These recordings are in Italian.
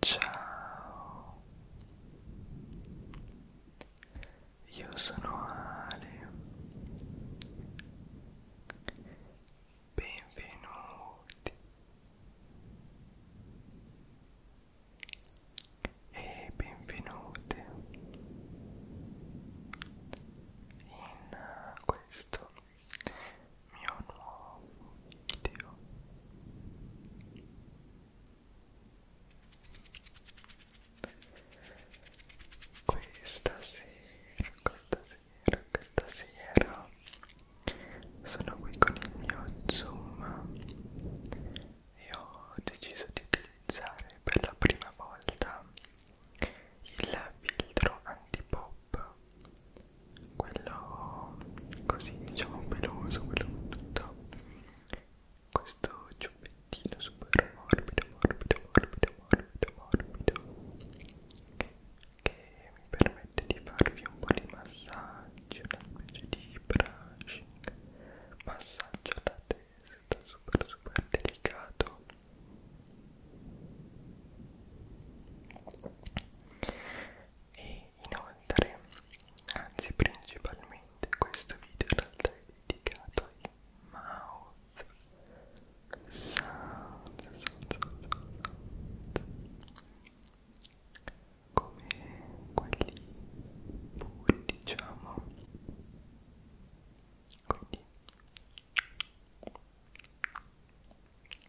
Ciao, io sono Ale, benvenuti e benvenute in questo mio nuovo video questa sera, questa sera, questa sera sono qui con il mio zoom e ho deciso di utilizzare per la prima volta il filtro antipop quello così diciamo peloso, quello con tutto questo ciuppettino super morbido, morbido, morbido, morbido, morbido che mi permette di farvi un po' di massaggio, una specie di brushing, massaggio alla testa, super super delicato e inoltre, anzi principalmente questo video in realtà è dedicato ai mouth sound, sound, sound, sound. come quelli puri diciamo quindi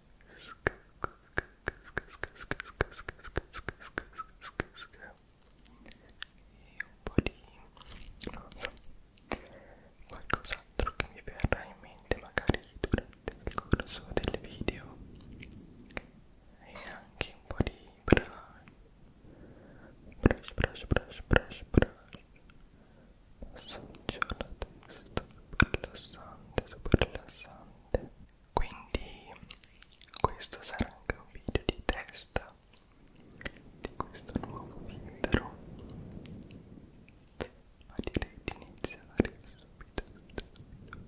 e un po' di non so qualcos'altro che mi verrà in mente magari durante il corso del video e anche un po' di brush brush brush brush brush brush massaggio alla testa super rilassante super rilassante quindi questo sarà anche un video di testa di questo nuovo filtro ma direi di iniziare subito, subito, subito.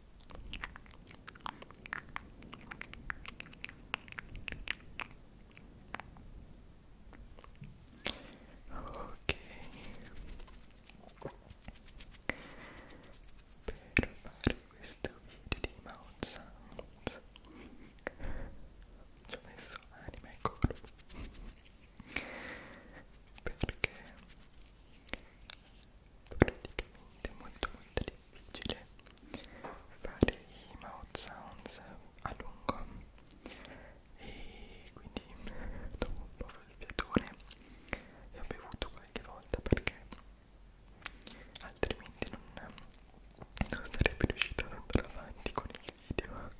Ok per fare questo video di Mount Sounds ci ho messo anima e corpo perché praticamente molto molto difficile fare i mouth sounds a lungo e quindi dopo un po' di fiatone e ho bevuto qualche volta perché altrimenti non, non sarebbe riuscito ad andare avanti con il video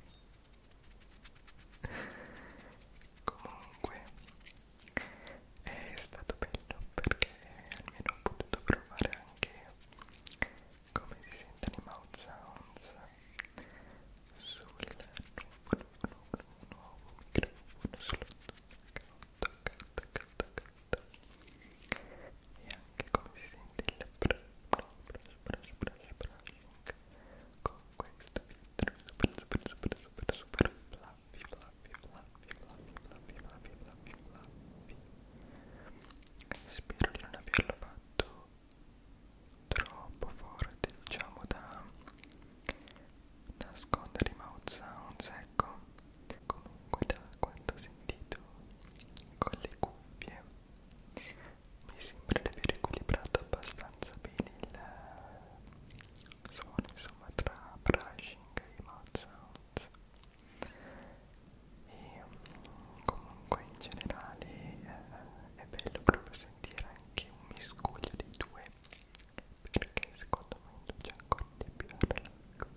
comunque è stato bello perché almeno ho potuto provare anche come si sentono i mouth sounds sul nuovo, nuovo, nuovo microfono sul e anche come si sente il brush brush brush brushing con questo filtro super super super super, super fluffy, fluffy, fluffy, fluffy, fluffy, fluffy, fluffy, fluffy. Spero di non averlo fatto troppo forte, diciamo da nascondere i mouth sounds, ecco. Comunque da quanto ho sentito con le cuffie mi sembra di aver equilibrato abbastanza bene il suono insomma tra brushing e mouth sounds e um, comunque in generale eh, è bello proprio sentire anche un miscuglio dei due perché secondo me induce ancora di più al relax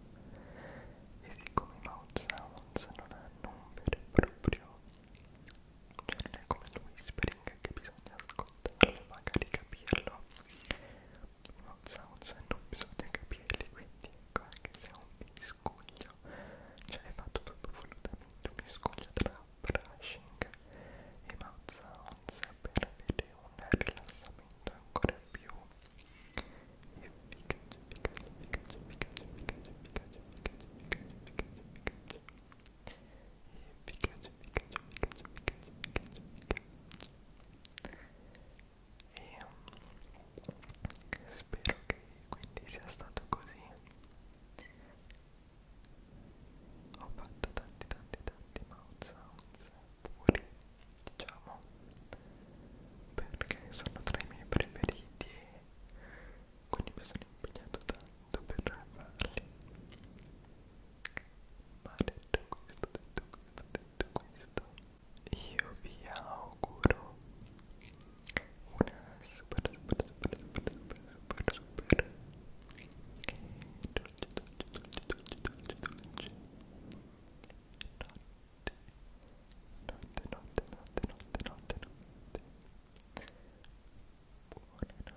e siccome i mouth sounds non hanno un vero e proprio cioè non è come il whispering che bisogna ascoltarlo magari capirlo non sounds e non bisogna capirli quindi ecco anche se è un miscuglio cioè è fatto proprio volutamente un miscuglio tra brushing e mouth sounds per avere un rilassamento ancora più efficace efficace efficace efficace efficace efficace efficace efficace efficace efficace efficace efficace efficace efficace e um, spero che quindi sia stato così ho fatto tanti tanti tanti mouth sounds puri diciamo perché sono tra i miei preferiti e quindi mi sono impegnato tanto per farli ma detto questo detto questo detto questo io vi auguro una super super super super super super super dolce dolce dolce dolce dolce notte notte notte notte notte notte notte buonanotte